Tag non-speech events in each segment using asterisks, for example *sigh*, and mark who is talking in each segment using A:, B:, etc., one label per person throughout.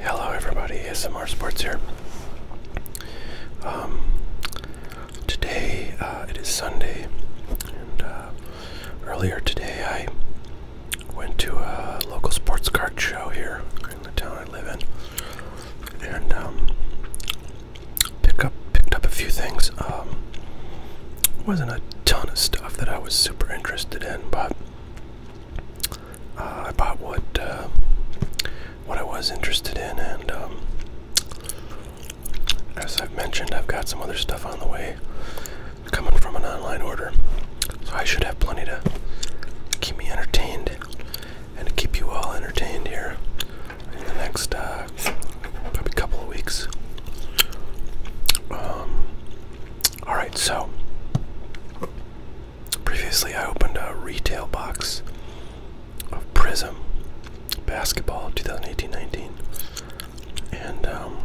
A: Hello, everybody. S.M.R. Sports here. Um, today uh, it is Sunday, and uh, earlier today I went to a local sports car show here in the town I live in, and um, pick up picked up a few things. Um, wasn't a ton of stuff that I was super interested in, but uh, I bought what uh, what I was interested in, and um, as I've mentioned, I've got some other stuff on the way coming from an online order, so I should have plenty to keep me entertained and to keep you all entertained here in the next uh, probably couple of weeks. Um, Alright, so previously I opened a retail box of Prism basketball 2018 19. And um,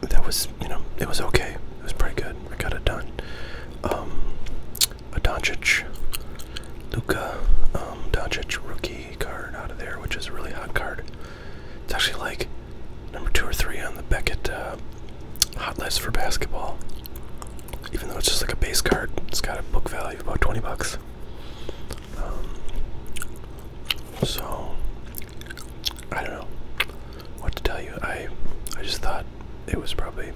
A: that was, you know, it was okay. It was pretty good. I got it done. Um, a Doncic, Luca, um, Doncic rookie card out of there, which is a really hot card. It's actually like number two or three on the Beckett uh, hot list for basketball. Even though it's just like a base card, it's got a book value of about 20 bucks. Um, so, I don't know what to tell you. I, I just thought it was probably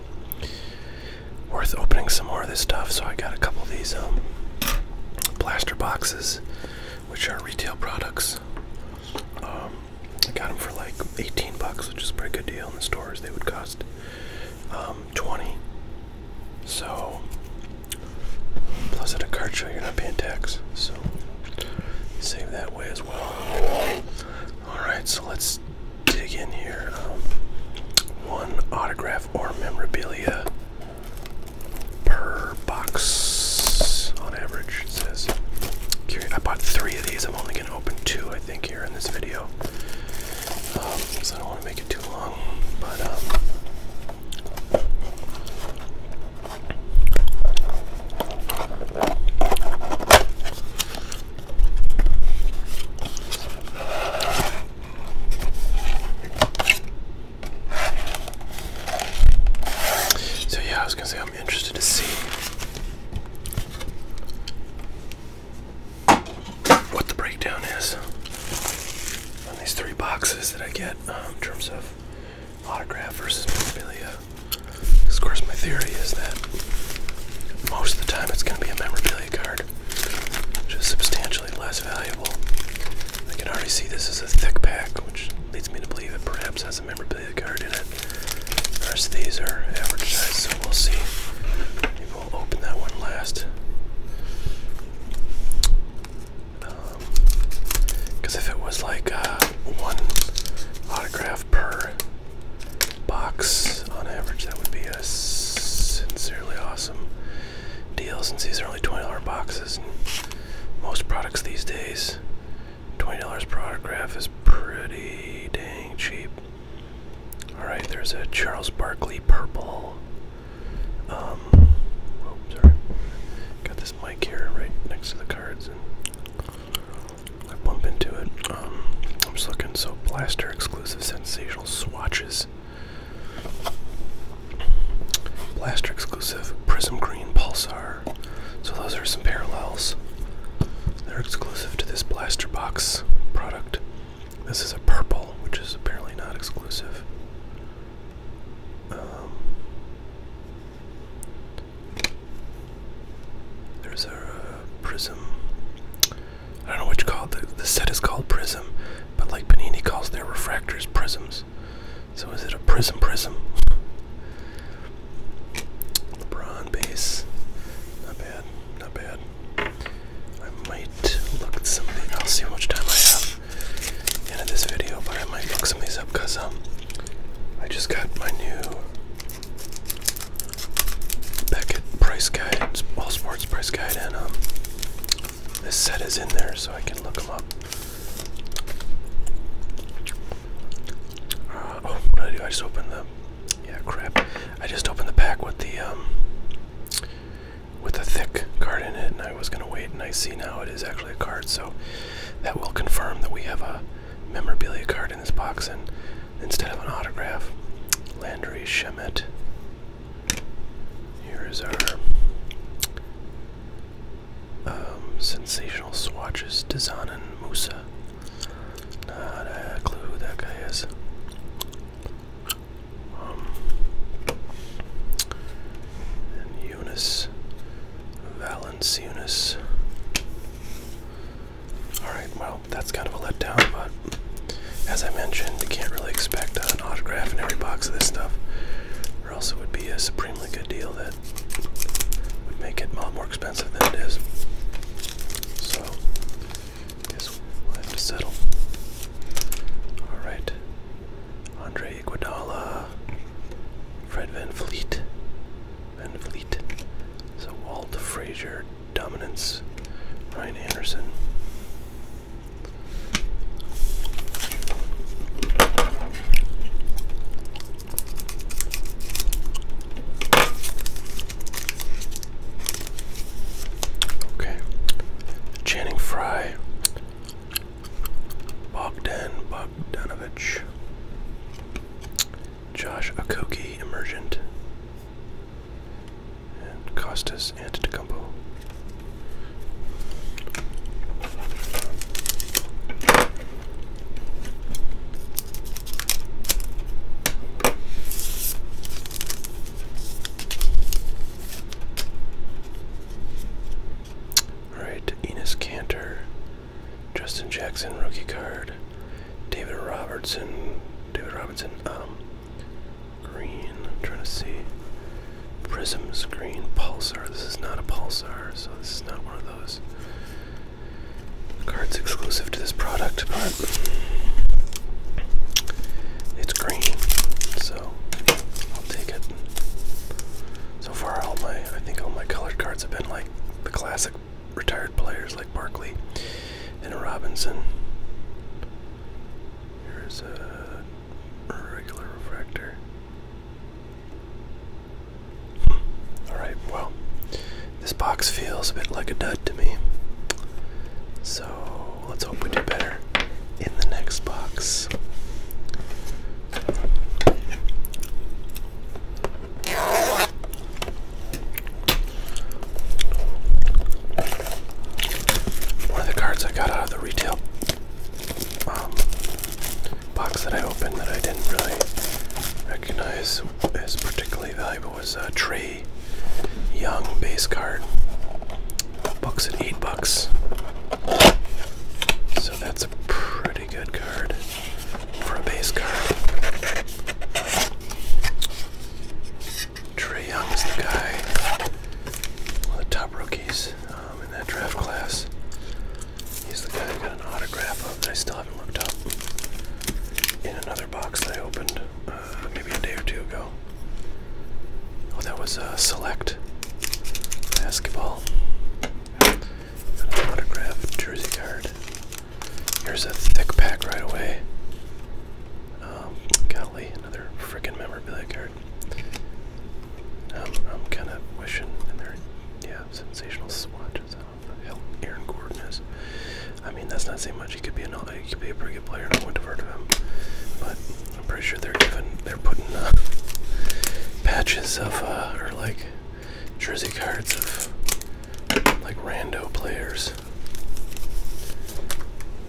A: worth opening some more of this stuff, so I got a couple of these um, blaster boxes, which are retail products. Um, I got them for like 18 bucks, which is a pretty good deal in the stores. They would cost um, 20. So, plus at a card show, you're not paying tax. So, save that way as well. Alright, so let's dig in here. Um, one autograph or memorabilia per box on average, it says. I bought three of these. I'm only going to open two, I think, here in this video. Um, I don't want to make it too long. But, um,. So yeah, I was gonna say I'm interested to see what the breakdown is on these three boxes that I get um, in terms of autograph versus memorabilia. of course my theory is that most of the time it's gonna be a memorabilia card, which is substantially less valuable I can already see this is a thick pack, which leads me to believe it perhaps has a memorabilia card in it. The rest these are average size, so we'll see. Maybe we'll open that one last. Because um, if it was like uh, one autograph per box on average, that would be a sincerely awesome deal since these are only $20 boxes most products these days. $20 product graph is pretty dang cheap. Alright, there's a Charles Barkley purple. Um, oh, sorry. Got this mic here right next to the cards, and I bump into it. Um, I'm just looking, so Blaster exclusive sensational swatches. Blaster exclusive Prism Green Pulsar. So those are some parallels. They're exclusive to this Blaster Box product. This is a purple, which is apparently not exclusive. Um, there's a Prism. I don't know what you call it. The, the set is called Prism, but like Panini calls their refractors Prisms. So is it a prism prism? LeBron base. Not bad, not bad. I might look at some I'll see how much time I have end of this video, but I might look some of these up because um, I just got my new Beckett price guide, all sports price guide, and um, this set is in there so I can look them up. Uh, oh, what did I do? I just opened the. Yeah, crap. I just opened the pack with the um, with a thick card in it, and I was gonna wait, and I see now it is actually a card, so that will confirm that we have a memorabilia card in this box, and instead of an autograph, Landry Shemet. Here is our um, sensational swatches, Dezanan Musa. Not a clue who that guy is. Um, and Eunice, Alright, well, that's kind of a letdown, but as I mentioned, you can't really expect an autograph in every box of this stuff. Or else it would be a supremely good deal that would make it more expensive than it is. So, guess we'll have to settle. Alright. Andre Iguodala. Fred Van Fleet. Van Fleet. So Walt Frazier dominance. Ryan Anderson. Okay. Channing Fry. Bogdan Bogdanovich. Josh Akoki Emergent. And Costa and Tecumbo. Alright, Enos Cantor, Justin Jackson, rookie card, David Robertson, David Robinson, um, green. I'm trying to see. Prism's green. Pulsar. This is not a pulsar, so this is not one of those cards exclusive to this product, but it's green, so I'll take it. So far, all my I think all my colored cards have been like the classic retired players like Barkley and Robinson. Here's a regular refractor. Alright, well, this box feels a bit like a dud to me. So let's hope we do better in the next box one of the cards I got out of the retail um, box that I opened that I didn't really recognize as particularly valuable was a uh, Trey Young base card. Bucks at eight bucks. So that's a pretty good card for a base card. Trey Young is the guy, one of the top rookies um, in that draft class. He's the guy I got an autograph of that I still haven't looked up in another box that I opened uh, maybe a day or two ago. Oh, that was uh, Select Basketball. Got jersey card. Here's a thick pack right away. Um, golly, another freaking memorabilia card. Um, I'm kind of wishing, yeah, sensational swatches. Uh, I Aaron Gordon is. I mean, that's not saying much. He could be an, he could be a pretty good player. I would heard of him, but I'm pretty sure they're giving, they're putting uh, patches of, uh, or like jersey cards of like rando players,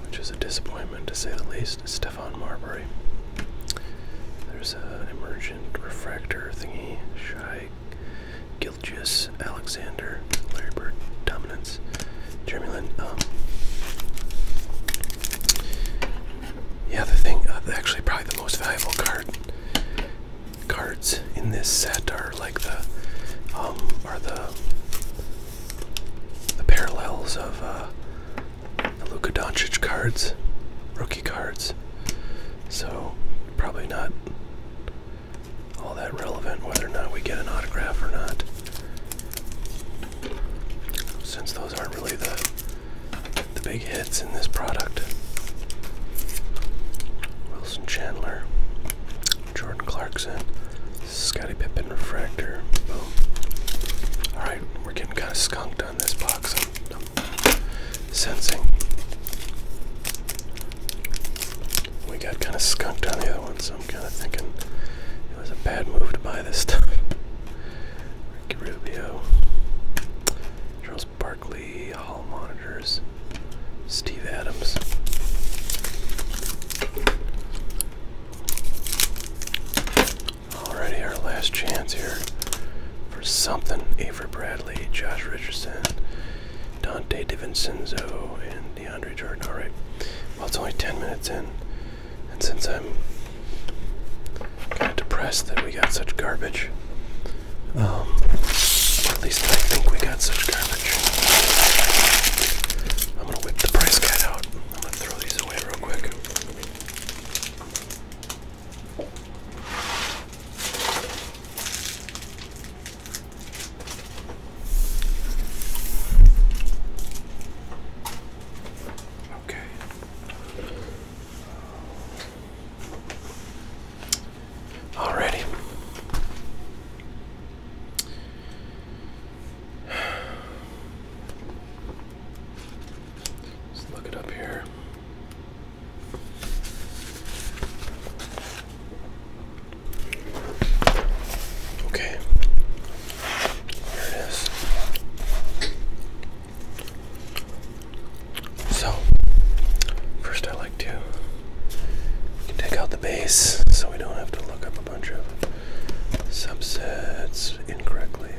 A: which is a disappointment lineman, to say the least, Stefan Marbury. There's an emergent refractor thingy, Shy Gilgius, Alexander, Larry Bird, Dominance, Jeremy um, yeah, the thing, uh, actually, probably the most valuable card cards in this set are like the um, are the the parallels of uh, the Luka Doncic cards, rookie cards. So probably not all that relevant whether or not we get an autograph or not, since those aren't really the the big hits in this product. Wilson Chandler, Jordan Clarkson, Scotty Pippen refractor. Boom. Alright, we're getting kind of skunked on this box. I'm, sensing. We got kind of skunked on the other one, so I'm kind of thinking it was a bad move to buy this stuff. Ricky Rubio, Charles Barkley, Hall Monitors, Steve Adams. Alrighty, our last chance here for something. Avery Bradley, Josh Richardson, Dante DiVincenzo, and DeAndre Jordan. Alright, well, it's only 10 minutes in, and since I'm kind of depressed that we got such garbage, um, at least I think we got such garbage. I'm gonna whip the price cat out. I'm gonna throw these away real quick. Okay. Alrighty. Let's look it up here. Okay. Here it is. So, first I like to we can take out the base so we don't have to look up a bunch of subsets incorrectly.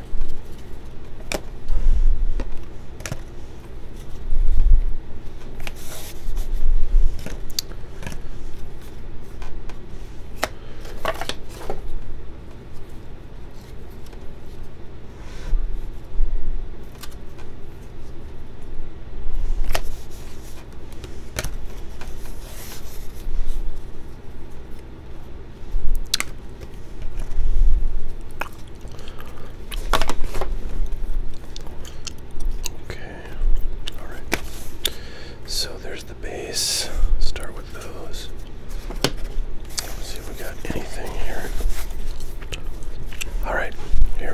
A: Okay, all right. So there's the base. Start with those. see if we got anything here. All right, here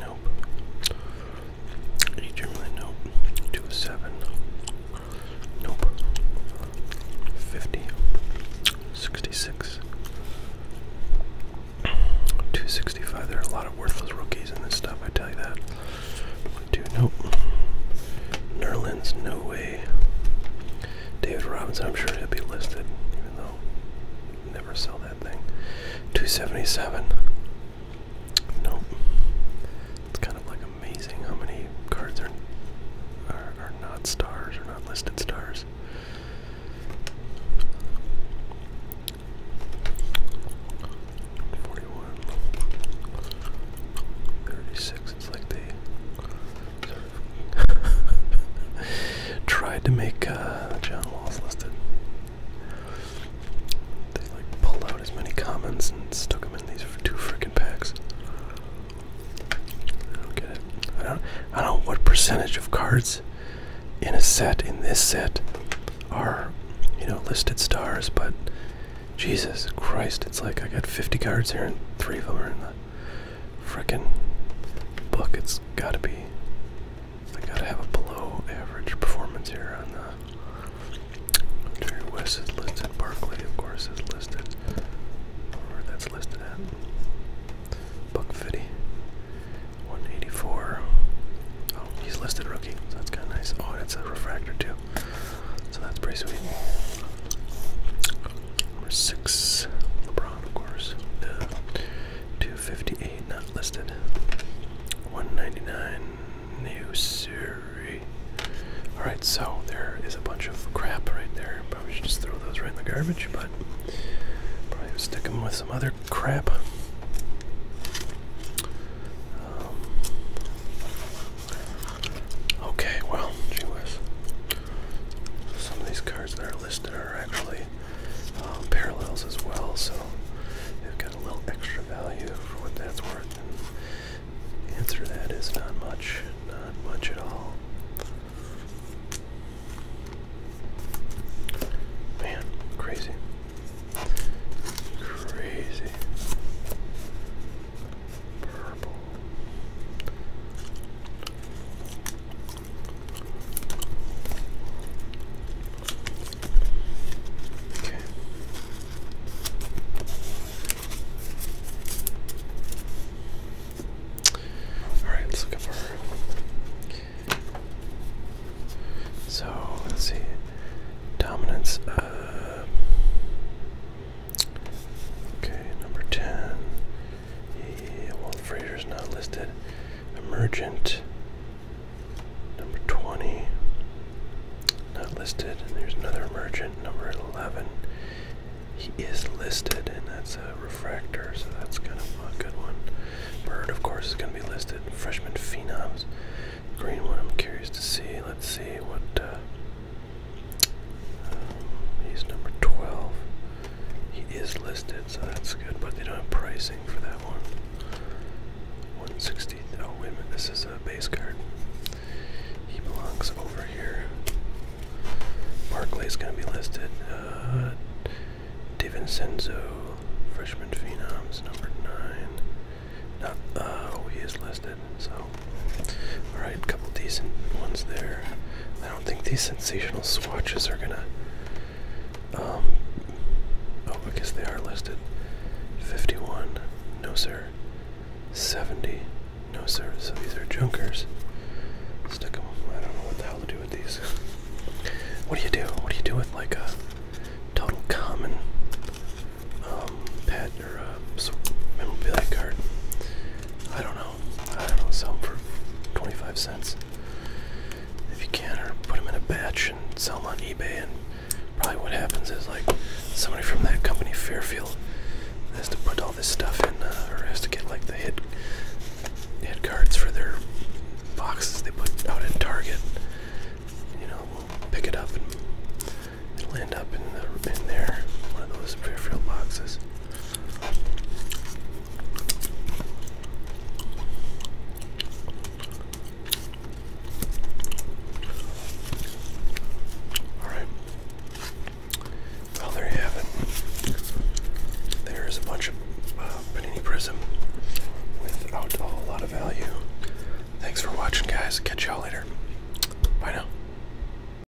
A: nope. Eight nope. Two seven. Nope. Fifty. Sixty-six. Two sixty-five. There are a lot of worthless rookies in this stuff, I tell you that. Two nope. Nerlens, no way. David Robinson, I'm sure he'll be listed, never sell that thing. 277. Nope. It's kind of like amazing how many cards are are, not stars or not listed stars. Forty-one. It's like they *laughs* Tried to make uh, John Walls listed. They like pulled out as many comments and stuck them in these two freaking packs. I don't get it. I don't. I don't know what percentage of cards in a set in this set are you know listed stars, but Jesus Christ, it's like I got 50 cards here and three of them are in the frickin' book. It's gotta be. I gotta have a below average performance here on uh, the. Jerry West is listed. Barkley, of course, is listed. Or that's listed at. Buck Fitty. 184. Oh, he's listed rookie, so that's kinda nice. Oh, it's a refractor too. So that's pretty sweet. Number six, of course. 258 not listed. 199 New Surrey. Alright, so there is a bunch of crap right there. Probably should just throw those right in the garbage, but probably stick them with some other crap. Um, okay, well, Some of these cards that their are actually um, parallels as well, so they've got a little extra value for what that's worth. And answer to that is not much, not much at all. Man, crazy. Crazy. Purple. Okay. All right, let's look up her. So let's see, dominance. Uh, okay, number ten. Yeah, well, is not listed. Emergent, number 20, not listed. there's another emergent, number 11. He is listed, and that's a refractor, so that's kind of a good one. Bird, of course, is going to be listed. Freshman phenoms, green one. I'm curious to see. Let's see what uh, he's number 12. He is listed, so that's good, but they don't have pricing for that one. 160. Oh, wait a this is a base card. He belongs over here. Barclay's going to be listed. Uh, DiVincenzo, freshman phenoms, number 9. Not, uh, oh, he is listed, so. Alright, a couple decent ones there. I don't think these sensational swatches are gonna. Um, oh, because they are listed. 51, no sir. 70, no sir. So these are junkers. Stick them. I don't know what the hell to do with these. What do you do? What do you do with like a total common um, pet or a memorabilia card? I don't know. I don't sell them for 25 cents if you can, or put them in a batch and sell them on eBay. And probably what happens is like somebody from that company, Fairfield, has to put all this stuff in, uh, or has to get like the hit hit cards for their boxes they put out in Target. You know, we'll pick it up and it'll end up in, the, in there, one of those Fairfield boxes. All right. Well, there you have it. There is a bunch of uh, panini prism without a lot of value. Thanks for watching, guys. Catch y'all later. Bye now.